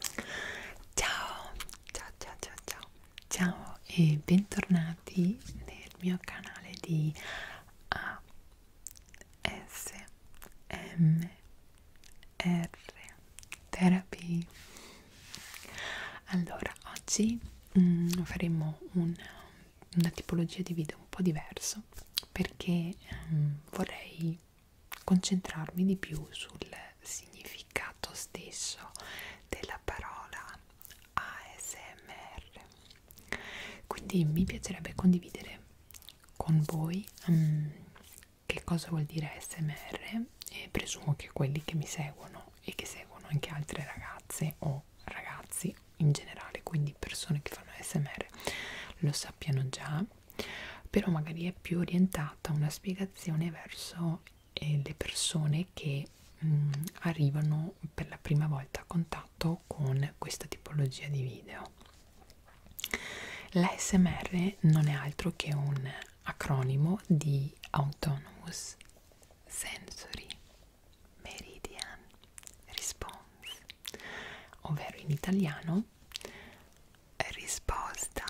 Ciao, ciao, ciao, ciao, ciao, ciao e bentornati nel mio canale di ASMR Therapy. Allora, oggi mm, faremo un, una tipologia di video un po' diverso perché mm, vorrei concentrarmi di più sul significato stesso della parola ASMR. Quindi mi piacerebbe condividere con voi um, che cosa vuol dire ASMR e presumo che quelli che mi seguono e che seguono anche altre ragazze o ragazzi in generale, quindi persone che fanno ASMR lo sappiano già però magari è più orientata una spiegazione verso eh, le persone che mh, mm, arrivano per la prima volta a contatto con questa tipologia di video. L'ASMR non è altro che un acronimo di Autonomous Sensory Meridian Response, ovvero in italiano risposta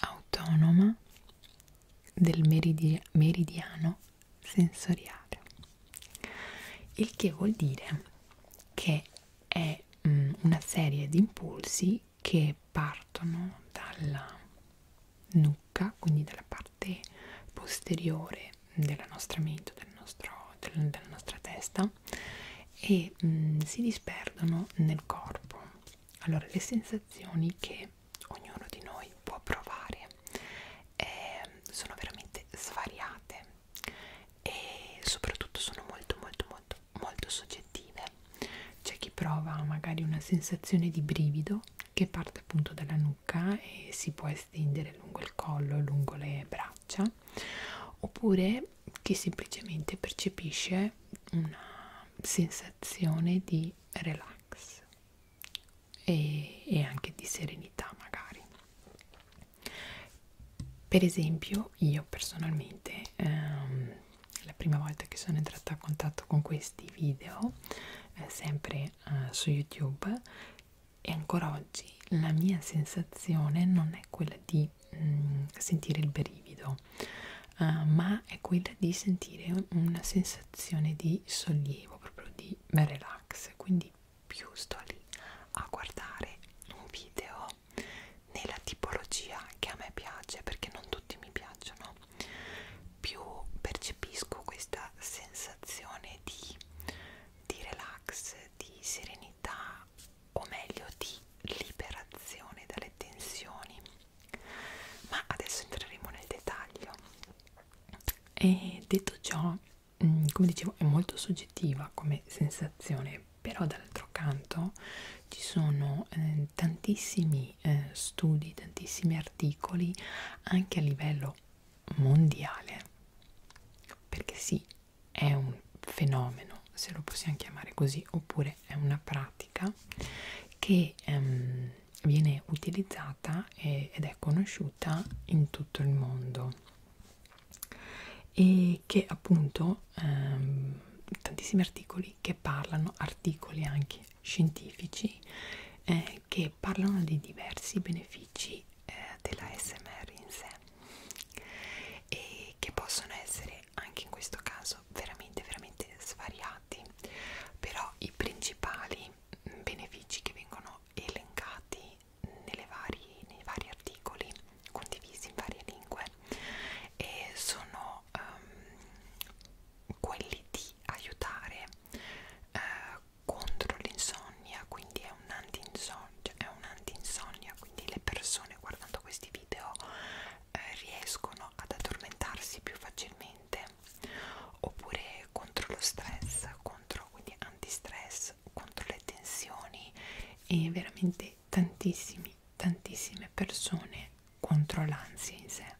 autonoma del meridi meridiano sensoriale il che vuol dire che è mh, mm, una serie di impulsi che partono dalla nucca quindi dalla parte posteriore della nostra mente del nostro, del, della nostra testa e mh, mm, si disperdono nel corpo allora le sensazioni che ognuno di noi può provare eh, sono veramente svariate e soprattutto sono molto molto molto molto soggettive c'è chi prova magari una sensazione di brivido che parte appunto dalla nuca e si può estendere lungo il collo lungo le braccia oppure che semplicemente percepisce una sensazione di relax e, e anche di serenità magari per esempio io personalmente ehm, la prima volta che sono entrata a contatto con questi video eh, sempre eh, su youtube e ancora oggi la mia sensazione non è quella di di mm, sentire il brivido, uh, ma è quella di sentire un, una sensazione di sollievo, proprio di relax. Quindi più sto lì a guardare un video nella tipologia che a me piace, perché non tutti mi piacciono, più percepisco questa sensazione di, di relax, di serenità o meglio di liberazione dalle tensioni ma adesso entreremo nel dettaglio e detto ciò mm, come dicevo è molto soggettiva come sensazione però dall'altro canto ci sono eh, tantissimi eh, studi tantissimi articoli anche a livello mondiale perché sì è un fenomeno se lo possiamo chiamare così oppure perché è una pratica che ehm, viene utilizzata e, ed è conosciuta in tutto il mondo e che appunto ehm, tantissimi articoli che parlano, articoli anche scientifici, eh, che parlano dei diversi benefici eh, della SMR in sé e che possono essere colore anche in questo caso veramente veramente svariati però i principali mm, benefici che vengono elencati nelle vari, nei vari articoli condivisi in varie lingue e sono um, quelli di aiutare uh, contro l'insonnia quindi è un cioè anti-insonnia cioè anti quindi le persone guardando questi video eh, riescono ad addormentarsi più facilmente oppure contro lo stress, contro quindi antistress, contro le tensioni e veramente tantissimi, tantissime persone contro l'ansia in sé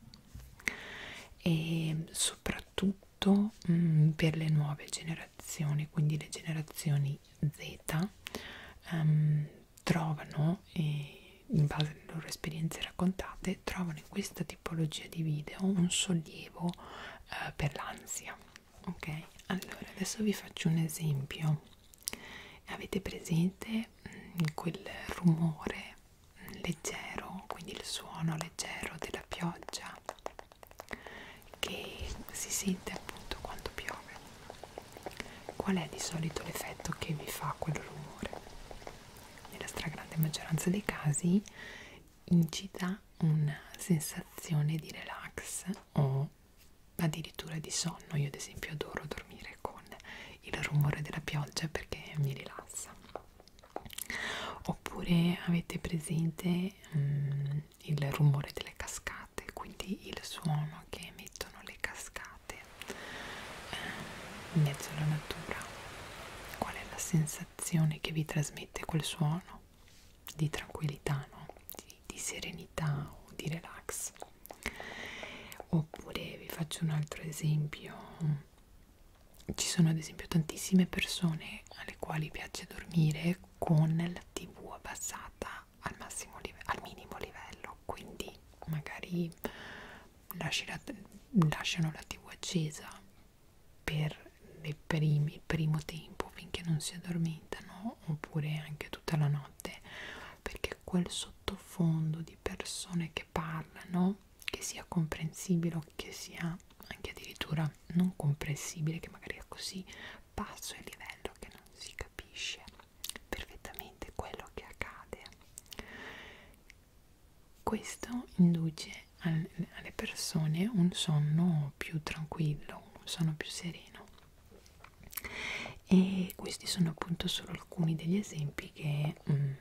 e soprattutto mh, mm, per le nuove generazioni, quindi le generazioni Z, um, trovano, in base alle loro esperienze raccontate, trovano in questa tipologia di video un sollievo eh, per l'ansia. Ok, allora adesso vi faccio un esempio. Avete presente mh, mm, quel rumore leggero, quindi il suono leggero della pioggia che si sente appunto quando piove? Qual è di solito l'effetto che vi fa quel rumore? Nella stragrande maggioranza dei casi incita una sensazione di relax o addirittura di sonno. Io ad esempio adoro dormire con il rumore della pioggia perché mi rilassa. Oppure avete presente um, il rumore delle cascate, quindi il suono che emettono le cascate sdraiate eh, in mezzo alla natura qual è la sensazione che vi trasmette quel suono di tranquillità no? di, di serenità o di relax oppure vi faccio un altro esempio ci sono ad esempio tantissime persone alle quali piace dormire con la tv abbassata al, massimo al minimo livello, quindi magari la, lasciano la tv accesa per le primi, il primo tempo finché non si addormentano oppure anche tutta la notte perché quel sottofondo di persone che parlano che sia comprensibile o che sia anche addirittura non comprensibile che magari è così basso il livello che non si capisce perfettamente quello che accade questo induce al, alle persone un sonno più tranquillo un sonno più sereno e questi sono appunto solo alcuni degli esempi che mh, mm,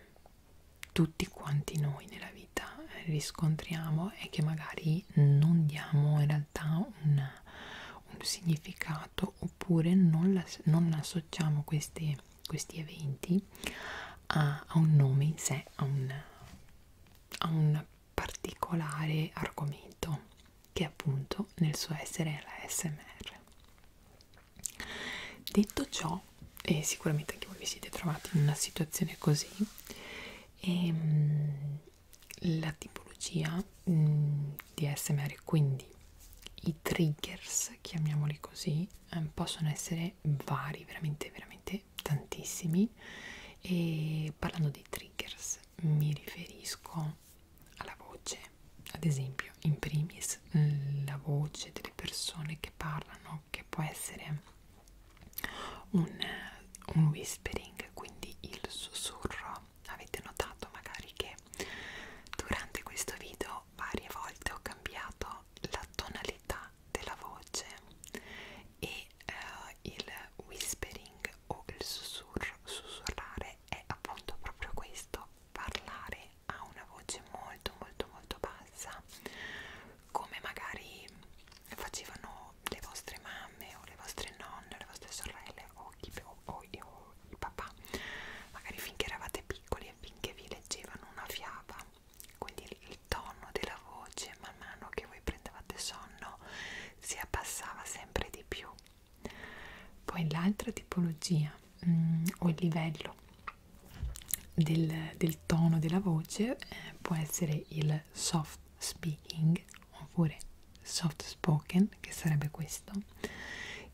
tutti quanti noi nella vita riscontriamo e che magari non diamo in realtà una, un significato passato oppure non, la, non associamo questi, questi eventi a, a un nome in sé, a un, a un particolare argomento che appunto nel suo essere è la SMR. Detto ciò, e sicuramente anche voi vi siete trovati in una situazione così, e, ehm, mh, la tipologia mh, mm, di ASMR, quindi i triggers, chiamiamoli così, ehm, possono essere vari, veramente, veramente tantissimi. E parlando di triggers, mi riferisco alla voce, ad esempio, in primis la voce delle persone che parlano, che può essere un, un whispering, quindi il sussurro. Avete notato magari che Durante questo video varie volte ho cambiato la tonalità della voce e eh, il whispering o il sussurro, sussurrare è appunto proprio questo, parlare a una voce molto molto molto bassa come magari facevano le vostre mamme o le vostre nonne o le vostre sorelle o, chi, o, o, o il papà magari finché eravate piccoli e finché vi leggevano una fiaba quindi il tono della voce man mano che voi prendevate sonno si abbassava sempre di più poi l'altra tipologia mm, o il livello del, del tono della voce eh, può essere il soft speaking oppure soft spoken che sarebbe questo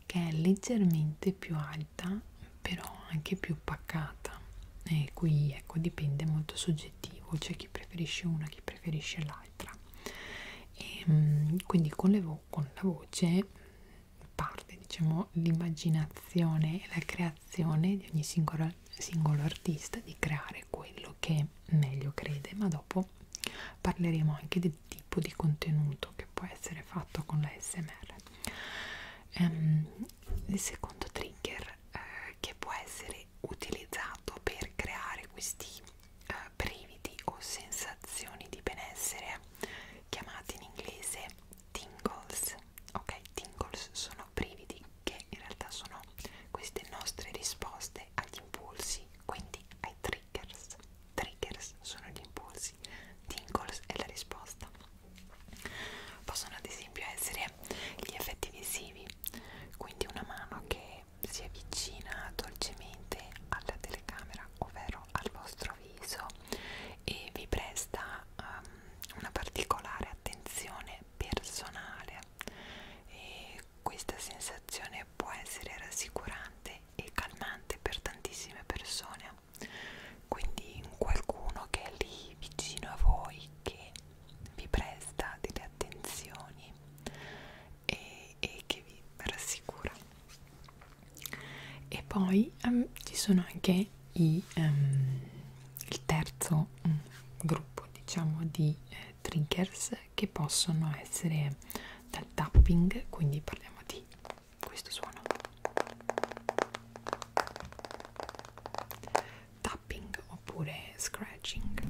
che è leggermente più alta però anche più paccata e qui ecco dipende molto soggettivo c'è chi preferisce una chi preferisce l'altra e, ehm, quindi con, le vo con la voce parte diciamo l'immaginazione e la creazione di ogni singolo, singolo artista di creare quello che meglio crede ma dopo parleremo anche di qualsiasi tipo di contenuto che può essere fatto con la SMR. Um, ehm, il secondo trigger uh, che può essere utilizzato per creare questi uh, brividi o sensazioni di benessere chiamati in inglese tingles. Ok, tingles sono brividi che in realtà sono queste nostre risposte agli impulsi, quindi ai triggers. Triggers sono gli impulsi, tingles è la risposta. Possono ad esempio essere gli effetti visivi, quindi una mano che si avvicina dolcemente alla telecamera, ovvero al vostro viso, e vi presta um, una particolare attenzione personale. E questa sensazione può essere rassicurante e calmante per tantissime persone quindi qualcuno che è lì vicino a voi che vi presta delle attenzioni e, e che vi rassicura e poi um, ci sono anche i, um, il terzo um, gruppo diciamo di eh, triggers che possono essere del tapping quindi parliamo di questo suono tapping oppure scratching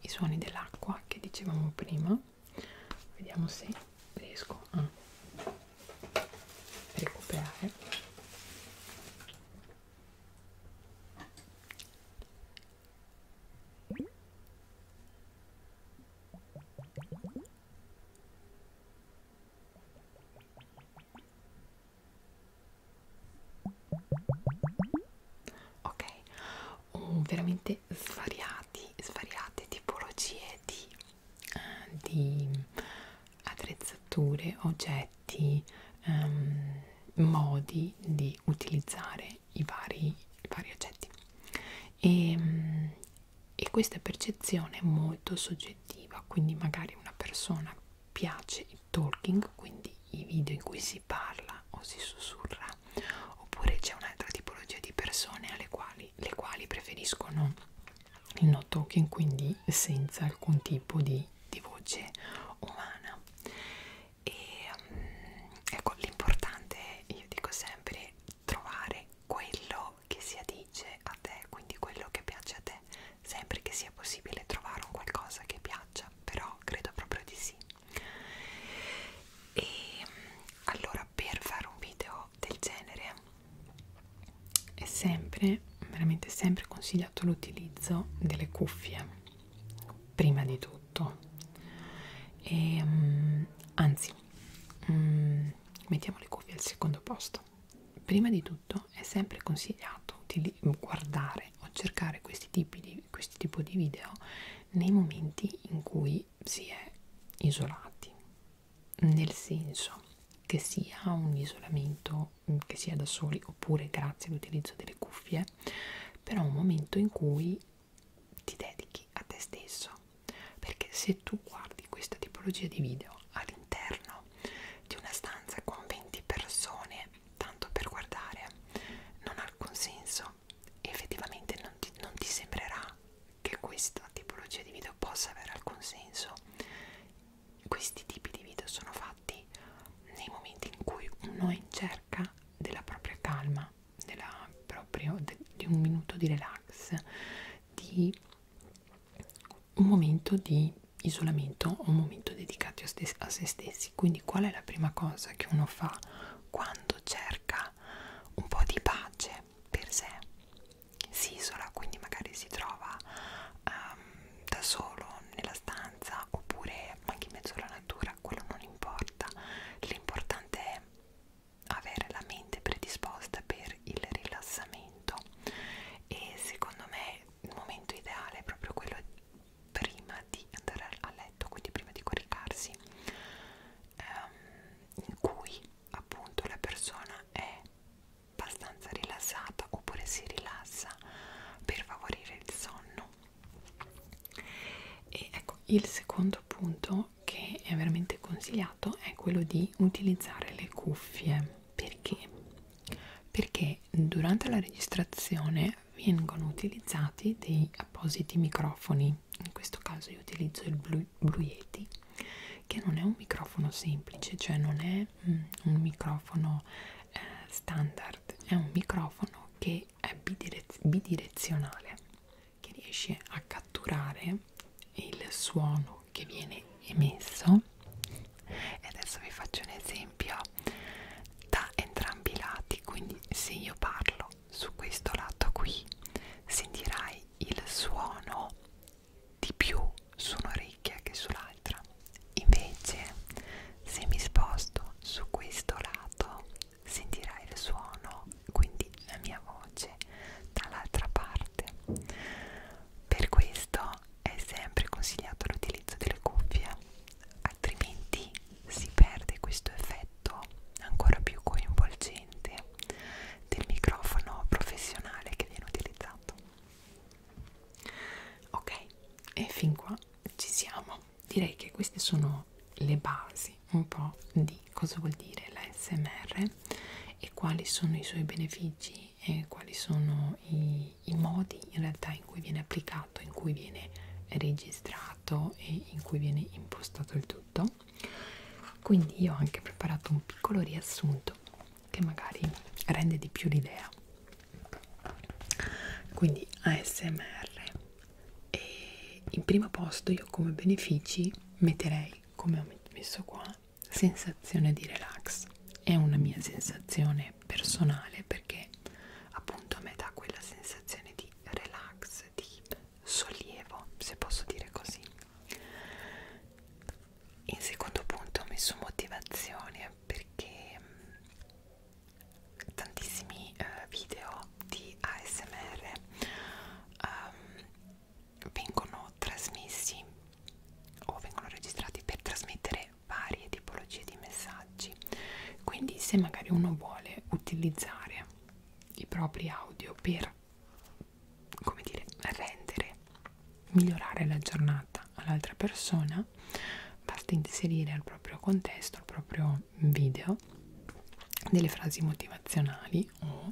i suoni dell'acqua che dicevamo prima vediamo se riesco a recuperare Ok, oh, veramente svariati, svariate tipologie di, eh, di attrezzature, oggetti effetti, ehm, modi di utilizzare i vari, i vari oggetti. E, ehm, e questa percezione è molto soggettiva, quindi magari una persona piace il talking, quindi i video in cui si parla o si sussurra, oppure c'è un'altra tipologia di persone alle quali, le quali preferiscono il no talking, quindi senza alcun tipo di di voce umana e um, ecco l'importante io dico sempre è trovare quello che si addice a te quindi quello che piace a te sempre che sia possibile trovare un qualcosa che piaccia però credo proprio di sì e mm, allora per fare un video del genere è sempre veramente sempre consigliato l'utilizzo delle cuffie prima di tutto e, um, anzi um, mettiamo le cuffie al secondo posto prima di tutto è sempre consigliato di guardare o cercare questi tipi di questi tipo di video nei momenti in cui si è isolati nel senso che sia un isolamento che sia da soli oppure grazie all'utilizzo delle cuffie però un momento in cui ti dedichi a te stesso perché se tu guardi questa tipologia di video all'interno di una stanza con 20 persone tanto per guardare non ha alcun senso effettivamente non ti, non ti sembrerà che questa tipologia di video possa avere alcun senso questi tipi di video sono fatti infatti nei momenti in cui uno è in cerca della propria calma, della, proprio, de, di un minuto di relax, di un momento di isolamento o un momento dedicato a se stessi. Quindi qual è la prima cosa che uno fa quando cerca un po' di pace per sé? Si isola, quindi magari si trova um, da solo nella stanza oppure anche in mezzo alla natura, quello non importa. L'importante è avere la mente predisposta per il rilassamento e secondo me il momento ideale è proprio quello prima di andare a letto, quindi prima di coricarsi, ehm, in cui appunto la persona è abbastanza rilassata oppure si rilassa per favorire il sonno e ecco il secondo punto che è veramente consigliato è quello di utilizzare le cuffie perché perché durante la registrazione vengono utilizzati dei appositi microfoni in questo caso io utilizzo il Blue, Blue Yeti che non è un microfono semplice cioè non è mm, un microfono eh, standard Nerd è un microfono che è bidirez bidirezionale che riesce a catturare il suono che viene emesso e adesso vi faccio un esempio da entrambi i lati quindi se io parlo su questo lato qui sentirai il suono di più su un'orecchia che sull'altra l'altra invece se mi sposto su questo lato sentirai il suono quindi la mia voce dall'altra parte per questo è sempre consigliato l'utilizzo delle cuffie altrimenti si perde questo effetto ancora più coinvolgente del microfono professionale che viene utilizzato ok e fin qua ci siamo direi che queste sono le basi un po' di cosa vuol dire la smr e quali sono i suoi benefici e quali sono i, i modi in realtà in cui viene applicato in cui viene registrato e in cui viene impostato il tutto quindi io ho anche preparato un piccolo riassunto che magari rende di più l'idea quindi ASMR e in primo posto io come benefici metterei come ho messo qua sensazione di relax è una mia sensazione personale perché appunto a me dà quella sensazione di relax di sollievo se posso dire così in secondo punto ho messo motivazione perché tantissimi eh, video di ASMR um, ehm, vengono trasmessi o vengono registrati per trasmettere varie tipologie di messaggi quindi se magari uno vuole utilizzare i propri audio per come dire rendere migliorare la giornata all'altra persona basta inserire al proprio contesto, al proprio video delle frasi motivazionali o,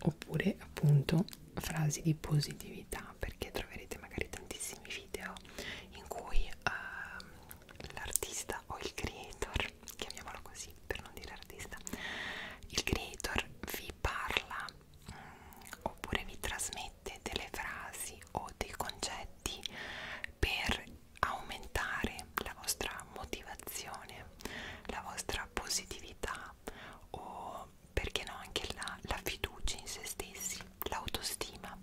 oppure appunto frasi di positività perché troverete magari tantissimi video in cui uh, l'artista o il creator chiamiamolo così per non dire artista il creator vi parla mh, mm, oppure vi trasmette delle frasi frasi o dei concetti per aumentare la vostra motivazione, la vostra positività o perché no anche la, la fiducia in se stessi, l'autostima.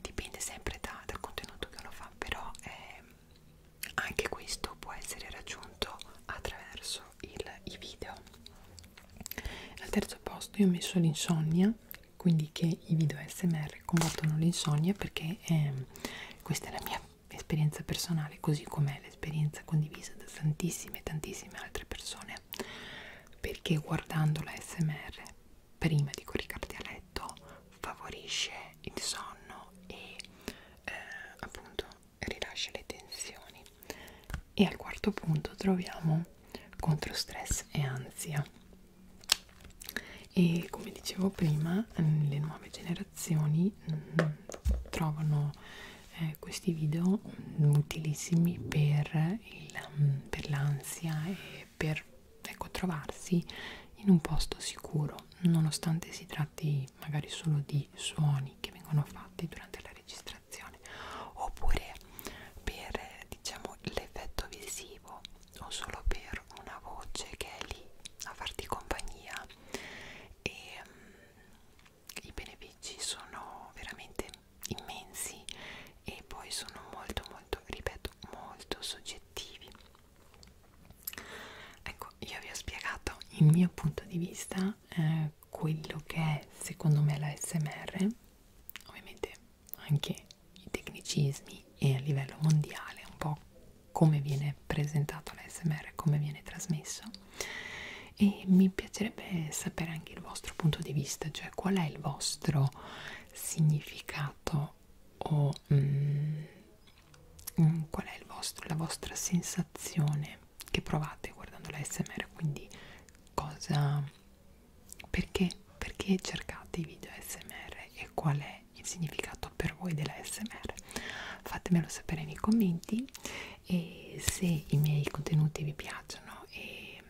Dipende sempre da, dal contenuto che uno fa, però eh, anche questo può essere raggiunto attraverso il, i video. Al terzo posto io ho messo l'insonnia quindi che i video smr combattono l'insonnia perché ehm, questa è la mia esperienza personale così com'è l'esperienza condivisa da tantissime tantissime altre persone perché guardando la smr prima di coricarti a letto favorisce il sonno e eh, appunto rilascia le tensioni e al quarto punto troviamo contro stress e ansia e come dicevo prima le nuove generazioni mh, mm, trovano eh, questi video mh, mm, utilissimi per, mm, per l'ansia e per ecco, trovarsi in un posto sicuro nonostante si tratti magari solo di suoni che vengono fatti durante la registrazione oppure per diciamo l'effetto visivo o solo per una voce che è lì a farti compagnia e um, i benefici sono veramente immensi e poi sono molto molto ripeto molto soggettivi ecco io vi ho spiegato il mm. mio punto di vista eh, quello che è secondo me la smr ovviamente anche i tecnicismi e a livello mondiale un po' come viene presentato l'ASMR, come viene trasmesso e mi piacerebbe sapere anche il vostro punto di vista, cioè qual è il vostro significato o mm, mm qual è vostro, la vostra sensazione che provate guardando l'ASMR, quindi cosa perché? Perché cercate i video ASMR e qual è il significato per voi dell'ASMR? Fatemelo sapere nei commenti e se i miei contenuti vi piacciono e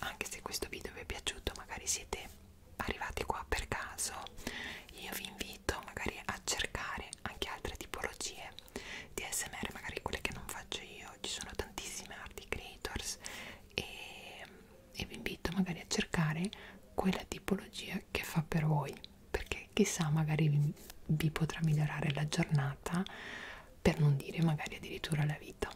anche se questo video vi è piaciuto, magari siete arrivati qua per caso, io vi invito magari a cercare anche altre tipologie di ASMR, magari quelle che non faccio io, ci sono tantissime art creators e e vi invito magari a cercare quella tipologia che fa per voi perché chissà magari vi, vi potrà migliorare la giornata per non dire magari addirittura la vita